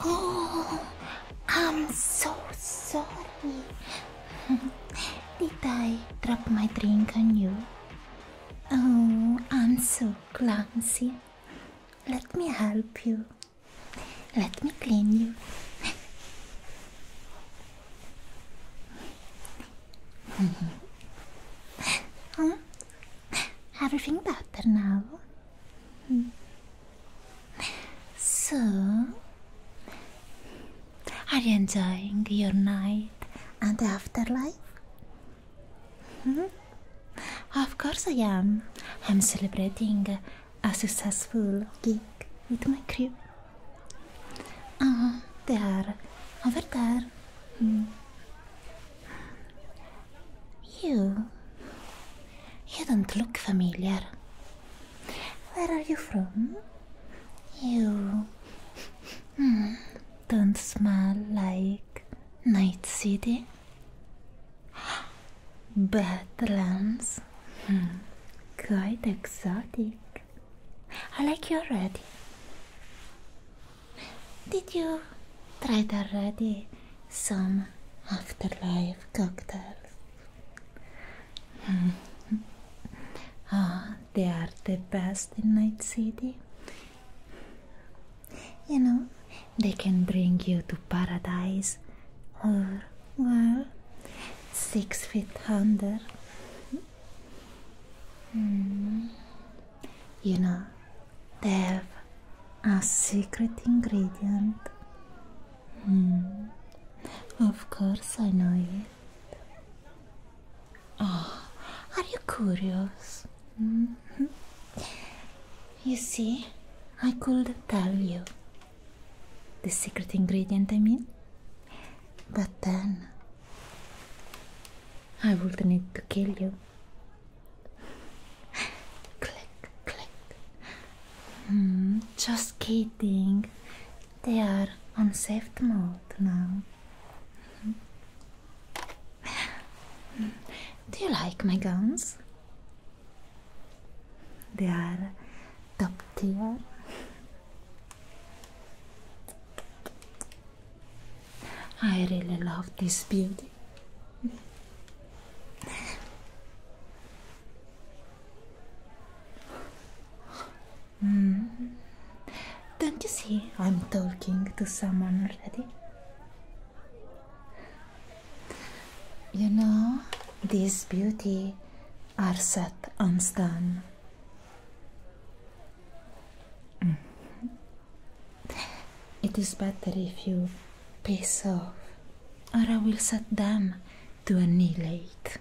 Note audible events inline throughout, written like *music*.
Oh, I'm so sorry. *laughs* Did I drop my drink on you? Oh, I'm so clumsy. Let me help you. Let me clean you huh? Hmm. Everything better now. Hmm. So, are you enjoying your night and afterlife? Hmm. Of course I am. I'm celebrating a successful gig with my crew. Ah, they are over there. Hmm. You. You don't look familiar. Where are you from? You. Hmm. Don't smell like Night City. *gasps* Badlands. Quite exotic. I like you already. Did you try already some afterlife cocktails? Hmm. *laughs* they are the best in Night City. You know, they can bring you to paradise or well, six feet under. Mm. You know, they have a secret ingredient. Mm. Of course, I know it. Oh, are you curious? Mm-hmm. You see, I could tell you the secret ingredient, I mean. But then I would not need to kill you. *sighs* click, click. Hmm, just kidding. They are on safe mode now. *sighs* Do you like my guns? They are top tier. I really love this beauty. mm. Don't you see I'm talking to someone already? You know, this beauty arset aanstaan. Mm-hmm. It is better if you piss off, or I will set them to annihilate.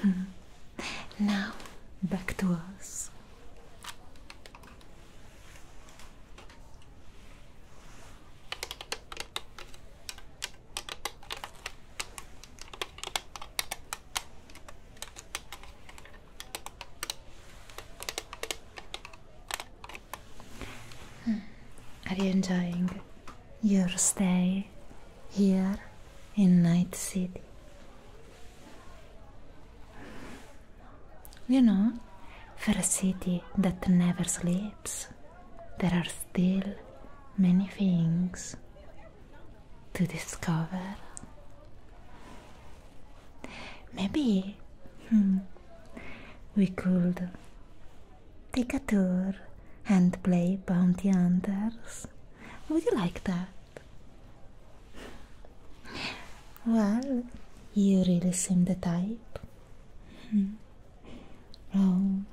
Hmm. Now, back to us. Hmm. Are you enjoying your stay here in Night City? You know, for a city that never sleeps, there are still many things to discover. Maybe hmm, we could take a tour and play bounty hunters. Would you like that? Well, you really seem the type well, hmm. oh.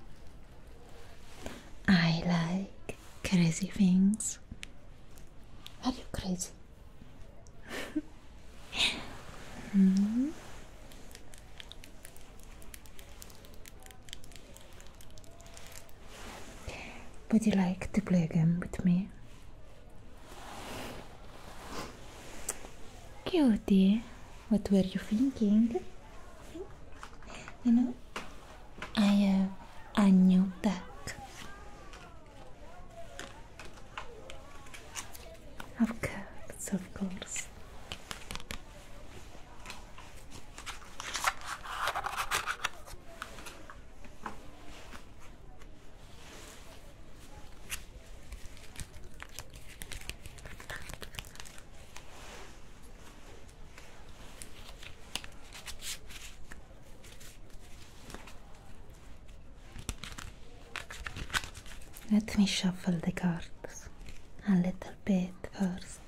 I like crazy things. Are you crazy? Hmm. Would you like to play a game with me? Cutie, what were you thinking? I have a new duck. Of course, of course. Let me shuffle the cards a little bit first.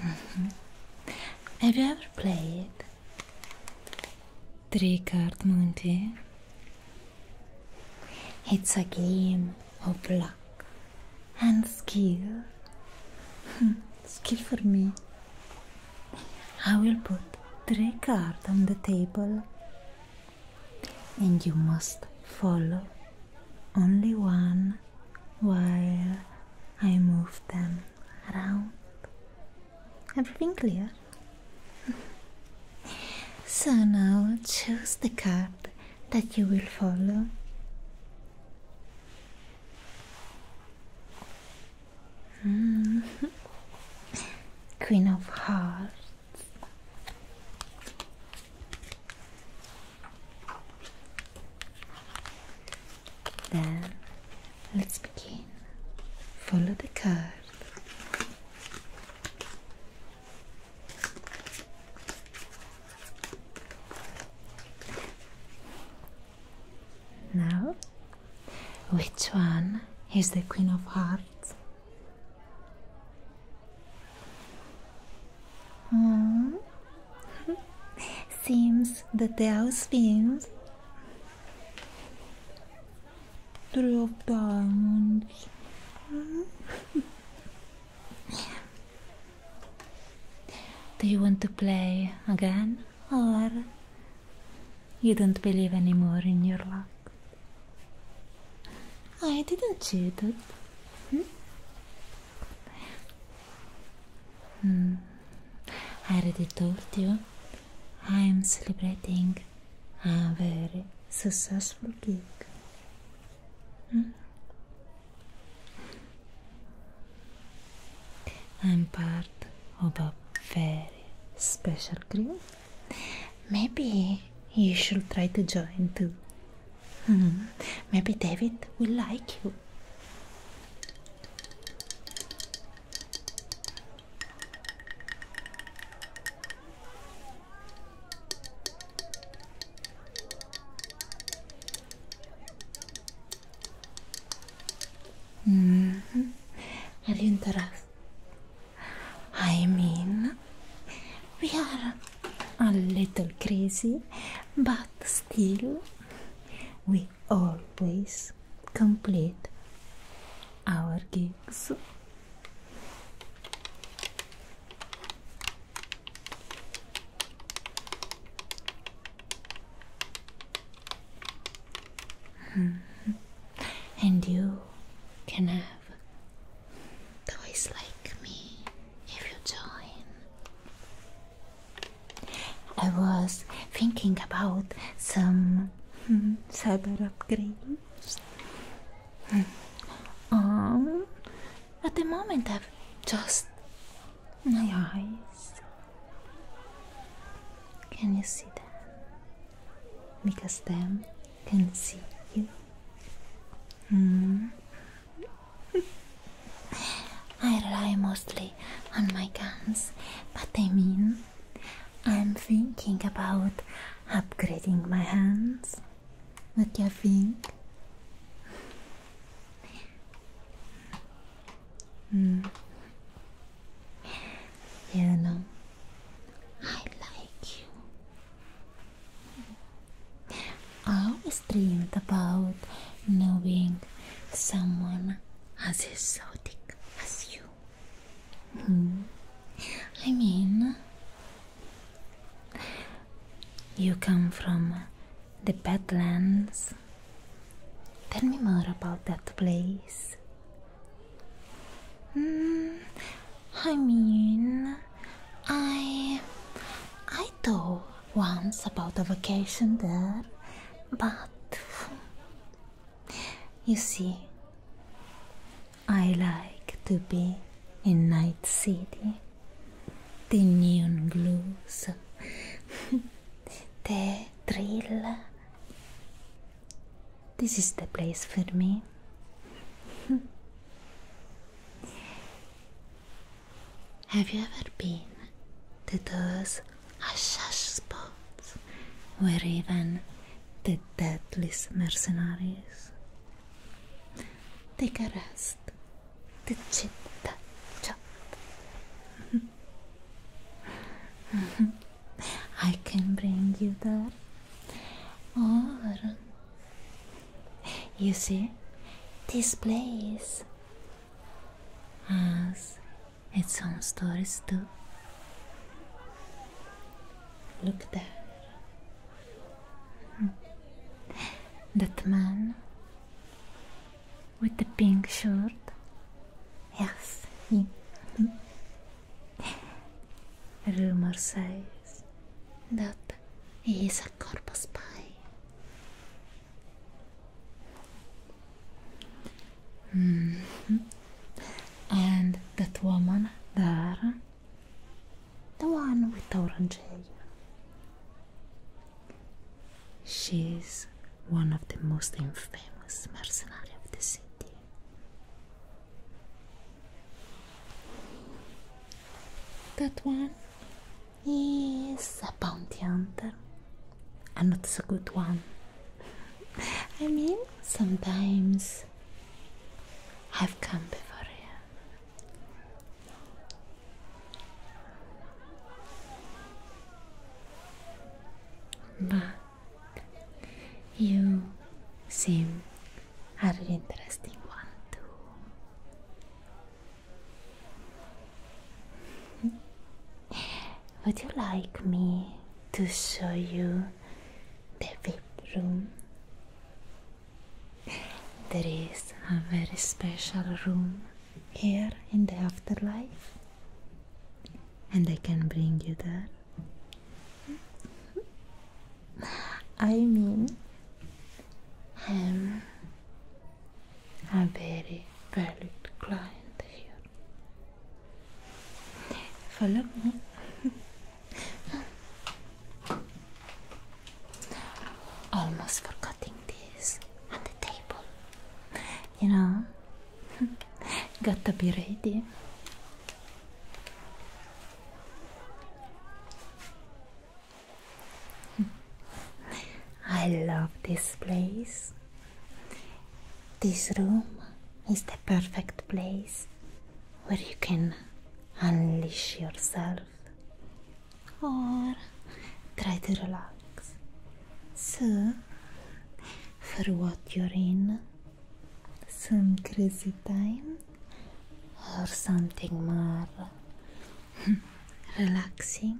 Mm-hmm. Have you ever played Three Card Monte? It's a game of luck and skill. Hmm, skill for me. I will put three cards on the table and you must follow only one while I move them around. Everything clear? *laughs* so now choose the card that you will follow. *laughs* Queen of Hearts. Then let's begin. Follow the card. Now, which one is the Queen of Hearts? Hmm. Seems that the house spins three of Do you want to play again, or you don't believe anymore in your luck? I didn't cheat it. Hmm? I already told you I am celebrating a very successful gig. Hmm? I'm part of a very special group. Maybe you should try to join too. Hmm. Maybe David will like you. -hmm. Are you interested? I mean, we are a little crazy, but still we always complete our gigs. Hmm. And you can have toys like me if you join. I was thinking about some hmm, cyber upgrades. Hmm. Um, at the moment, I've just my eyes. Can you see them? Because them can see you. Mm. *laughs* I rely mostly on my guns, but I mean, I'm thinking about upgrading my hands. What do you think? Mm. You know, I like you. I always dreamed about knowing someone as exotic as you. Hmm. I mean, you come from the Badlands. Tell me more about that place. Mm, I mean, I I thought once about a vacation there, but you see, I like to be in Night City. The neon glows, *laughs* the thrill. This is the place for me. Have you ever been to those hush spots where even the deadliest mercenaries take a rest to chit-chat? *laughs* I can bring you there, or you see, this place has its own stories too. Look there. Hmm. That man with the pink shirt. Yes, him. Hmm. Rumor says that He's a corpus spy. And that woman there, the one with orange hair, she's one of the most infamous mercenaries of the city. That one is a bounty hunter, and it's a good one. I mean, sometimes I've come before you. But you seem a interesting one too. Would you like me to show you the VIP room? There is a very special room here in the afterlife, and I can bring you there. I mean, I'm a very valued client here. Follow me. *laughs* Almost forgetting this on the table. You know, *laughs* got to be ready. *laughs* I love this place. This room is the perfect place where you can unleash yourself or try to relax. So, for what you're in, some crazy time, or something more *laughs* relaxing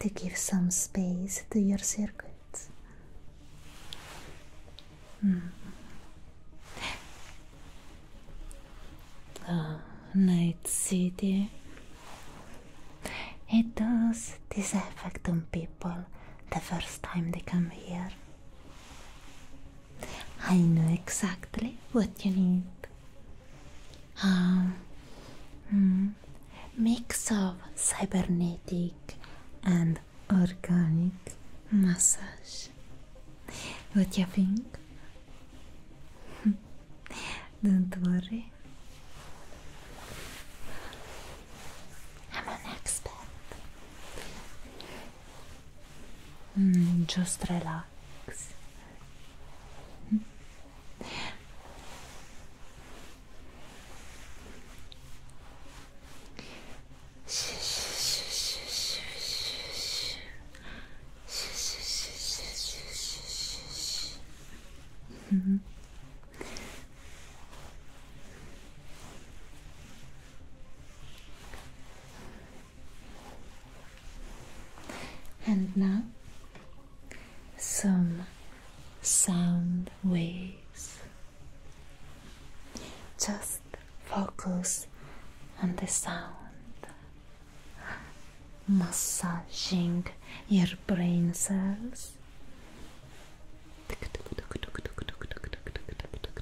to give some space to your circuits. Hmm. Ah, Night City. It does this effect on people the first time they come here. I know exactly what you need. Um, mix of cybernetic and organic massage. What do you think? *laughs* Don't worry. I'm an expert. Mm, just relax. Mm-hmm. And now some sound waves. Just focus on the sound, massaging your brain cells.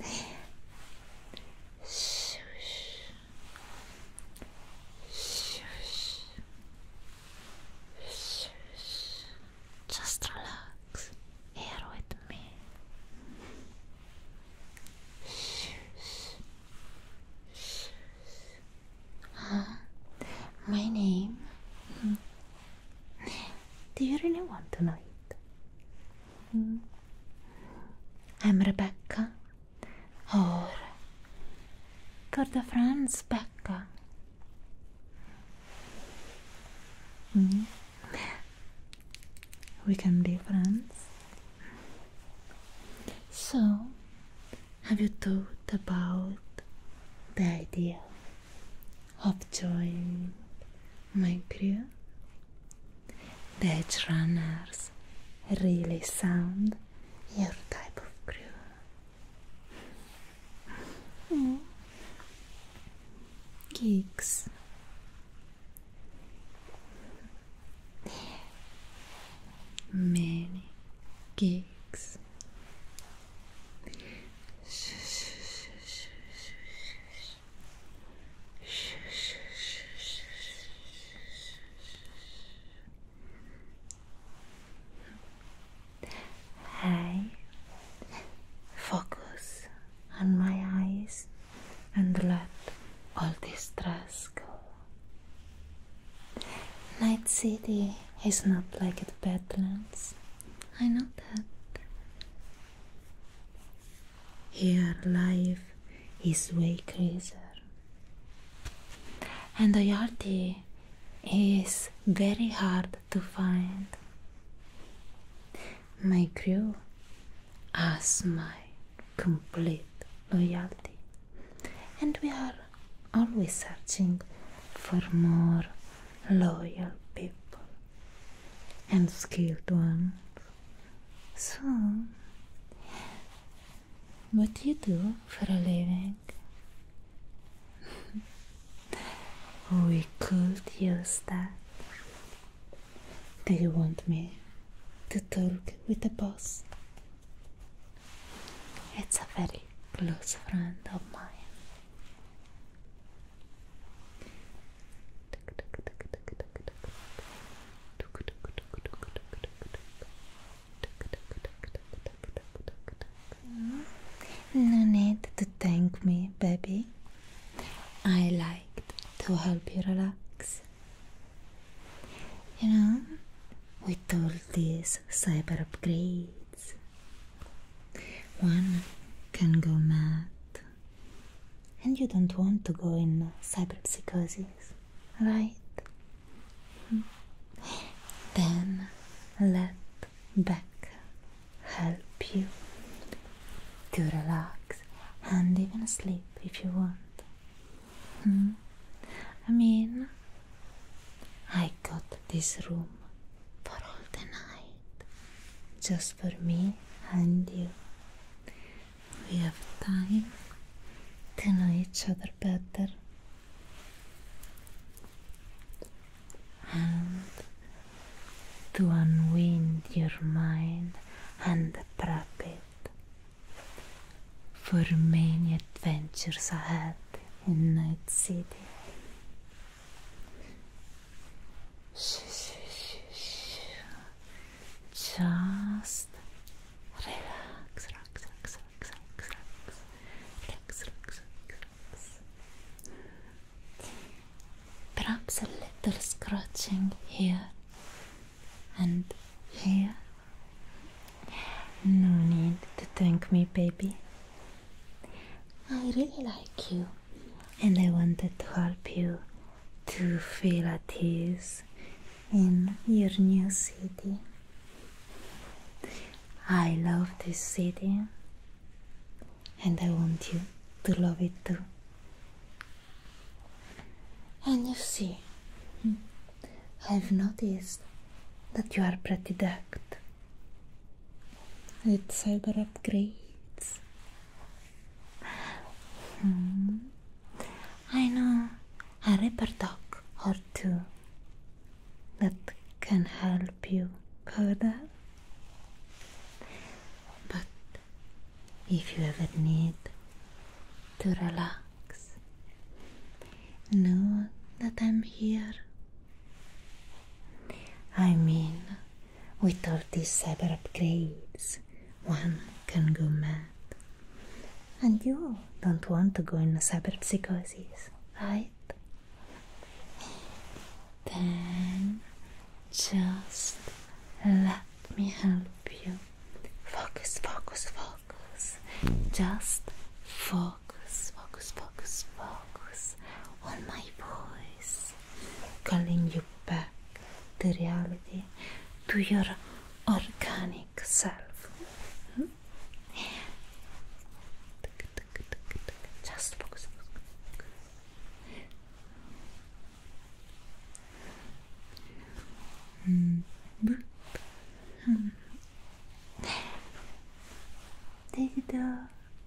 down. Shush. Shush. Shush. Just relax here with me. Shush. Shush. Huh? My name? Hmm. Do you really want to know it? Mm. I'm Rebecca or Tour de France Becca. Mm-hmm. We can be friends. So, have you thought about the idea of joining my crew? Badge runners really sound your type of crew. Geeks. Many geeks. Hi. Focus on my eyes and let all this stress go. Night City is not like the Badlands. I know that. Here life is way crazier. And Ayati is very hard to find. My crew has my complete loyalty, and we are always searching for more loyal people and skilled ones. So, what do you do for a living? *laughs* we could use that. Do you want me to talk with the boss? It's a very close friend of mine. No need to thank me, baby. I liked to help you relax. You know, with all these cyber upgrades, one can go mad and you don't want to go in cyberpsychosis, right? Hmm. Then let Beck help you to relax and even sleep if you want. Hmm. I mean, I got this room for all the night just for me and you. We have time to know each other better. And to unwind your mind and trap it for many adventures ahead in Night City. Just relax, relax, relax, relax, relax, relax, relax, relax. Perhaps a little scratching here and here. No need to thank me, baby. I really like you and I wanted to help you to feel at ease in your new city. I love this city and I want you to love it too. And you see, I've noticed that you are pretty decked with cyber upgrades Hmm. I know a ripper dog or two that can help you cover that. But if you ever need to relax, know that I'm here. I mean, with all these cyber upgrades, one can go mad. And you don't want to go in a cyber psychosis, right? Then just let me help you. Focus, focus, focus. Just focus, focus, focus, focus on my voice calling you back to reality, to your organic self. Hmm? Just focus. Mm -hmm. hmm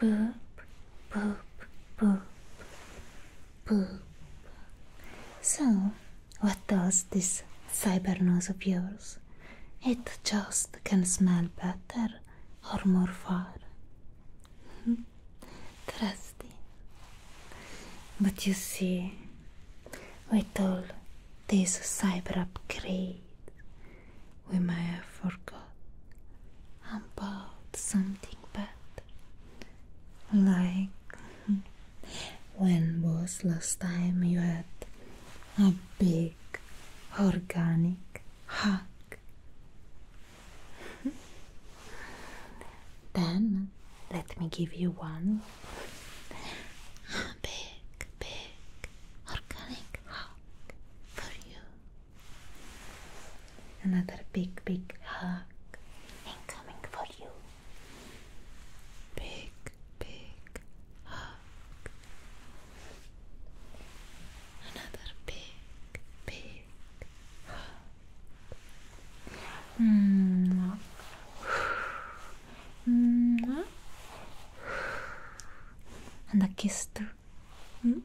Boop, boop, boop, boop. So, what does this cyber nose of yours? It just can smell better or more far. Hmm? Trusty. But you see, with all these cyber upgrades, we may have forgot about something bad. Like *laughs* when was last time you had a big organic hug? *laughs* then let me give you one. A big, big organic hug for you. Another big, big hug incoming for you. Big, big hug. Another big, big hug. Mwah. Mm. Mwah. Mm. And a kiss too. Mm.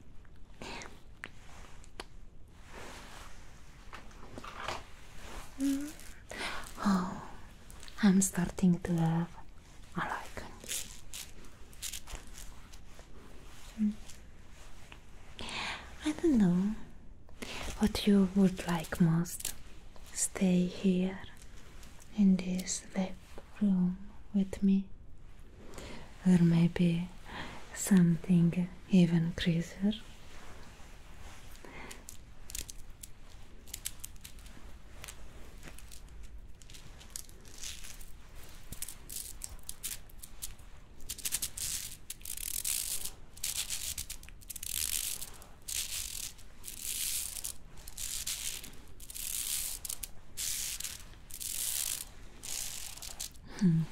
Mm. Oh, I'm starting to have a Mm. I don't know what you would like most. Stay here in this lab room with me there may be something even crazier. Hmm.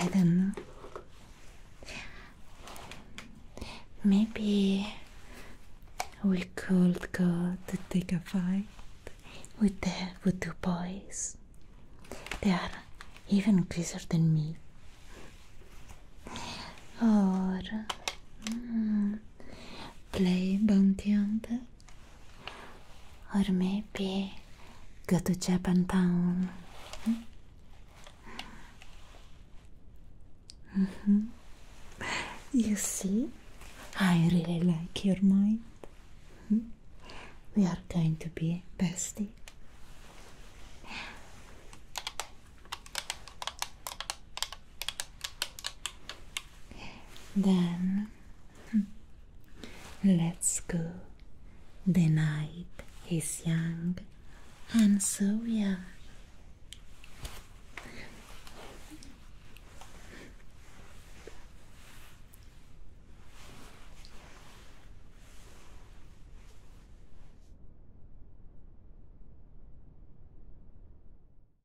I don't know. Maybe we could go to take a fight with the with two boys. They are even closer than me. Or hmm, play bounty or maybe go to Japantown. Mm mm-hmm. You see, I really like your mind. We are going to be bestie. Then hmm, let's go. The night is young, and so we are.